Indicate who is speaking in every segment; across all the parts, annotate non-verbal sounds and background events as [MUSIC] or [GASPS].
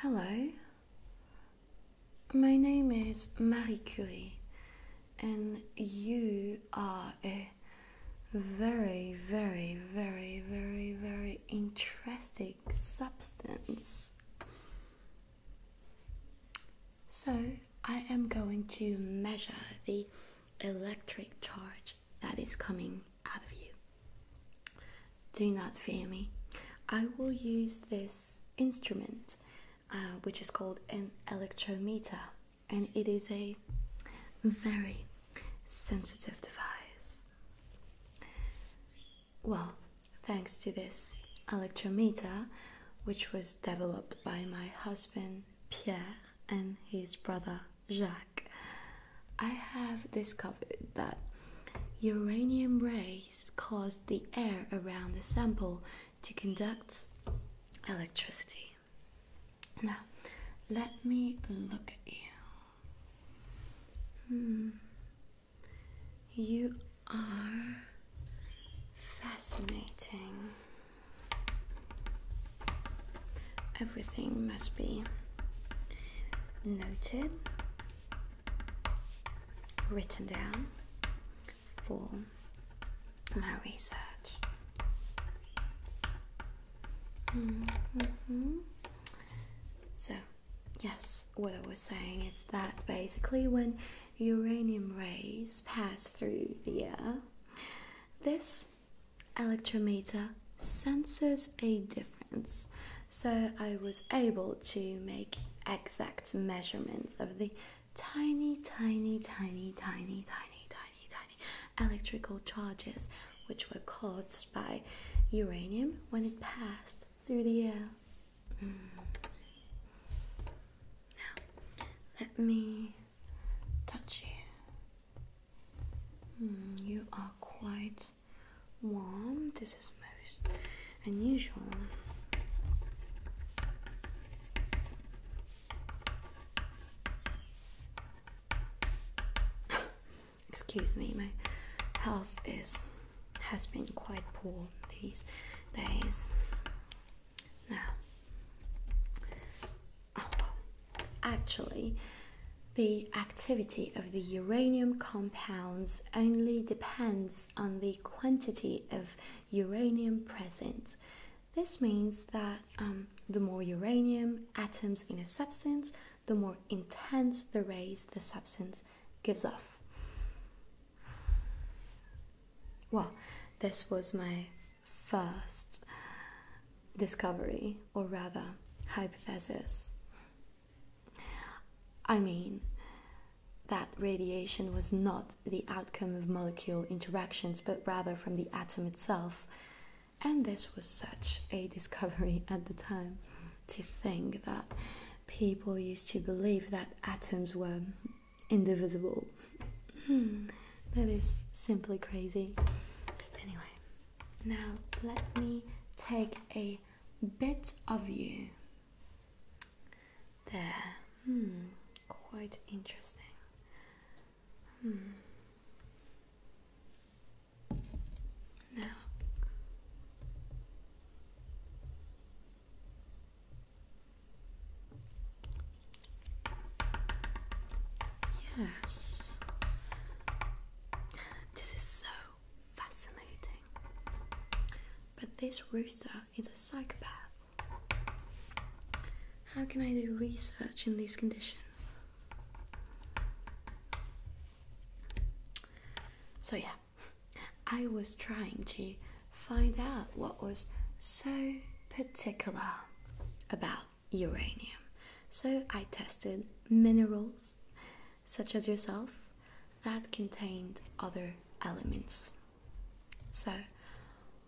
Speaker 1: Hello, my name is Marie Curie, and you are a very, very, very, very, very interesting substance. So I am going to measure the electric charge that is coming out of you. Do not fear me. I will use this instrument, uh, which is called an electrometer, and it is a very sensitive device. Well, thanks to this electrometer, which was developed by my husband Pierre and his brother Jacques, I have discovered that uranium rays cause the air around the sample to conduct electricity. Now, let me look at you. Hmm. You are fascinating. Everything must be noted, written down for my research. Mm-hmm. So, yes, what I was saying is that basically when uranium rays pass through the air, this electrometer senses a difference. So, I was able to make exact measurements of the tiny, tiny, tiny, tiny, tiny, tiny tiny, tiny electrical charges which were caused by uranium when it passed through the air. Mm. Now, let me touch you. Mm, you are quite warm. This is most unusual. Excuse me, my health is has been quite poor these days. Now, oh, actually, the activity of the uranium compounds only depends on the quantity of uranium present. This means that um, the more uranium atoms in a substance, the more intense the rays the substance gives off. Well, this was my first discovery, or rather, hypothesis. I mean, that radiation was not the outcome of molecule interactions but rather from the atom itself. And this was such a discovery [LAUGHS] at the time to think that people used to believe that atoms were indivisible. Hmm, that is simply crazy. Anyway, now let me take a bit of you. There. Hmm. Quite interesting. Hmm. Now. Yes. This is so fascinating. But this rooster is a psychopath. How can I do research in these conditions? So, yeah, I was trying to find out what was so particular about uranium. So, I tested minerals such as yourself that contained other elements. So,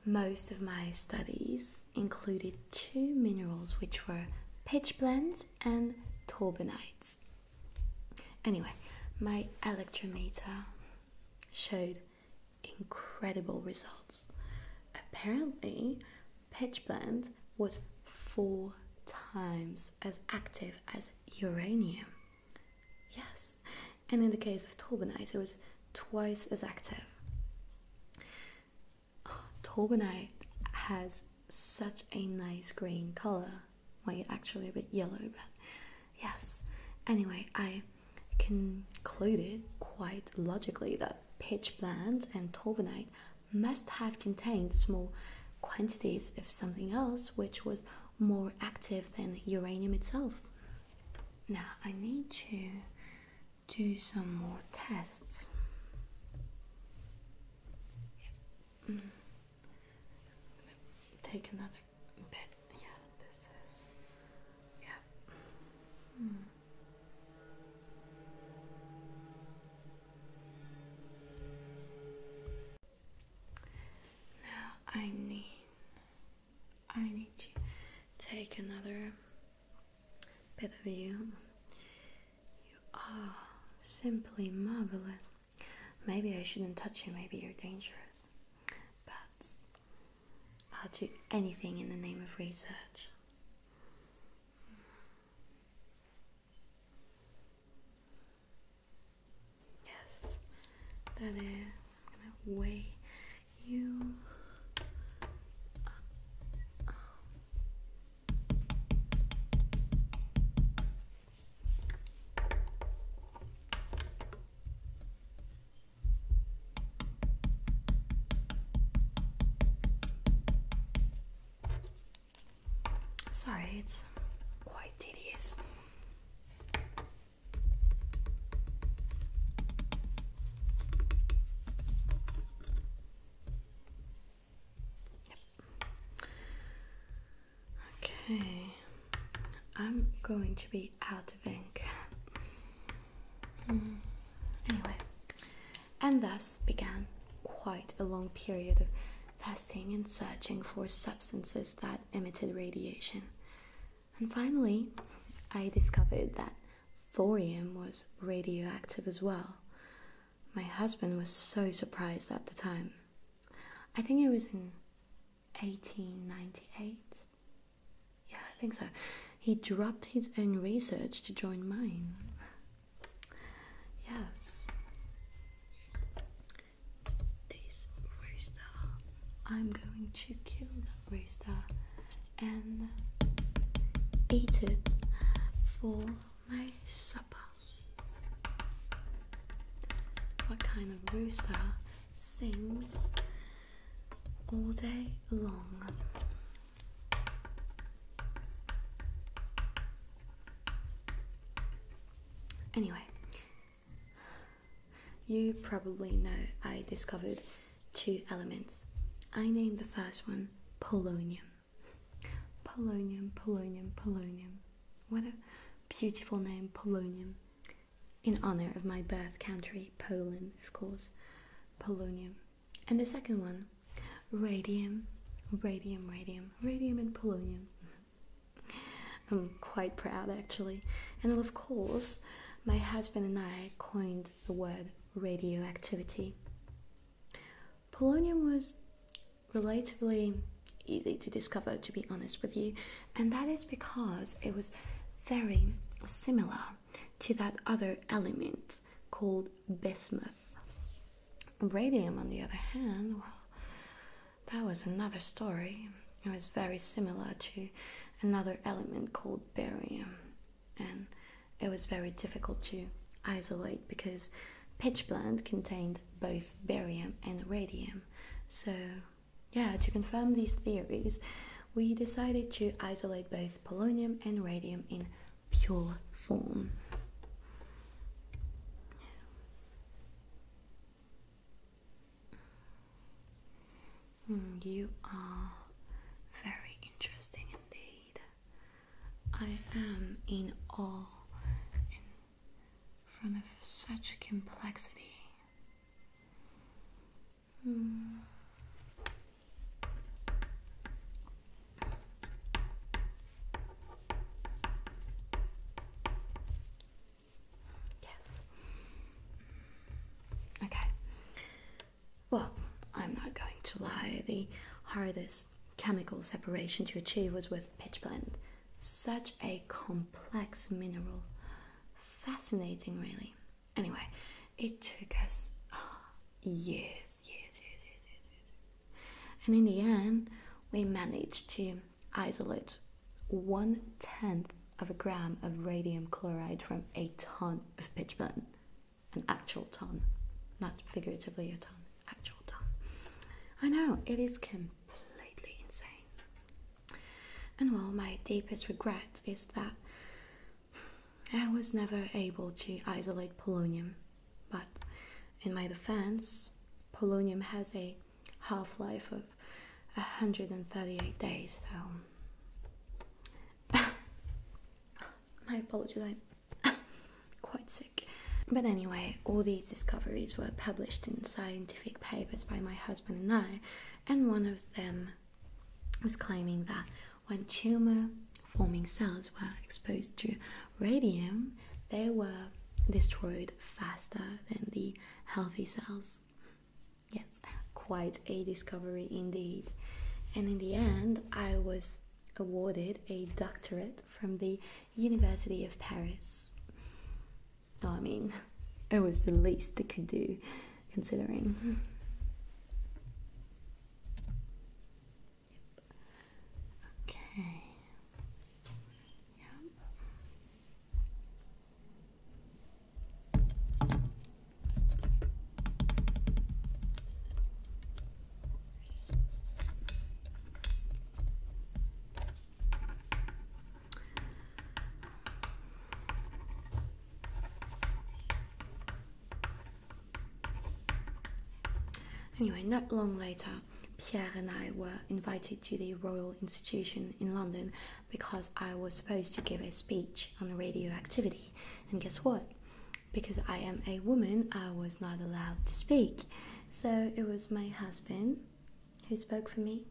Speaker 1: most of my studies included two minerals which were pitch and torbenites. Anyway, my electrometer showed incredible results. Apparently, pitch was four times as active as uranium. Yes, and in the case of Tolbenai, it was twice as active. [GASPS] Oh, has such a nice green color. Well, actually a bit yellow, but yes. Anyway, I concluded quite logically that pitch and Tolbenite must have contained small quantities of something else which was more active than uranium itself. Now I need to do some more tests. Mm. Take another bit. Yeah, this is. Yeah. Hmm. Now I need I need to take another bit of you. You are simply marvelous. Maybe I shouldn't touch you, maybe you're dangerous. But I'll do anything in the name of research. Yes, that is. I'm gonna weigh you. Sorry, it's quite tedious. Okay, I'm going to be out of ink. Hmm. Anyway, and thus began quite a long period of testing and searching for substances that emitted radiation. And finally, I discovered that thorium was radioactive as well. My husband was so surprised at the time. I think it was in 1898. Yeah, I think so. He dropped his own research to join mine. Yes. This rooster. I'm going to kill that rooster and eat it for my supper. What kind of rooster sings all day long? Anyway, you probably know I discovered two elements. I named the first one polonium. Polonium, polonium, polonium. What a beautiful name, polonium. In honor of my birth country, Poland, of course. Polonium. And the second one radium, radium, radium, radium, and polonium. [LAUGHS] I'm quite proud actually. And of course, my husband and I coined the word radioactivity. Polonium was relatively easy to discover, to be honest with you, and that is because it was very similar to that other element called bismuth. Radium, on the other hand, well, that was another story. It was very similar to another element called barium, and it was very difficult to isolate because pitchblende contained both barium and radium. So, yeah, to confirm these theories, we decided to isolate both polonium and radium in pure form. you are very interesting indeed. I am in awe in front of such complexity. Hmm. Yes. Okay. Well, I'm not going to lie. The hardest chemical separation to achieve was with pitch Such a complex mineral. Fascinating, really. Anyway, it took us ah, years, years, years, years, years, And in the end, we managed to isolate one tenth of a gram of radium chloride from a ton of pitch blende, an actual ton, not figuratively a ton, actual ton. I know it is completely insane. And well, my deepest regret is that I was never able to isolate polonium, but in my defense, polonium has a half life of 138 days, so. [LAUGHS] my apologies, I'm [LAUGHS] quite sick. But anyway, all these discoveries were published in scientific papers by my husband and I, and one of them was claiming that when tumor forming cells were exposed to radium, they were destroyed faster than the healthy cells. Yes, quite a discovery indeed. And in the end, I was awarded a doctorate from the University of Paris. I mean, it was the least they could do considering. Okay. Yep. Anyway, not long later, Pierre and I were invited to the Royal Institution in London because I was supposed to give a speech on radioactivity. And guess what? Because I am a woman, I was not allowed to speak. So it was my husband who spoke for me.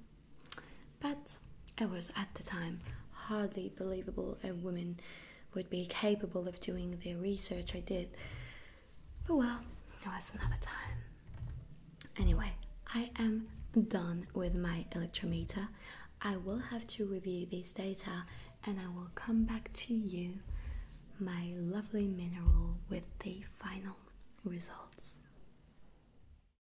Speaker 1: But it was at the time hardly believable a woman would be capable of doing the research I did. But well, it was another time. Anyway, I am done with my electrometer. I will have to review these data and I will come back to you, my lovely mineral, with the final results.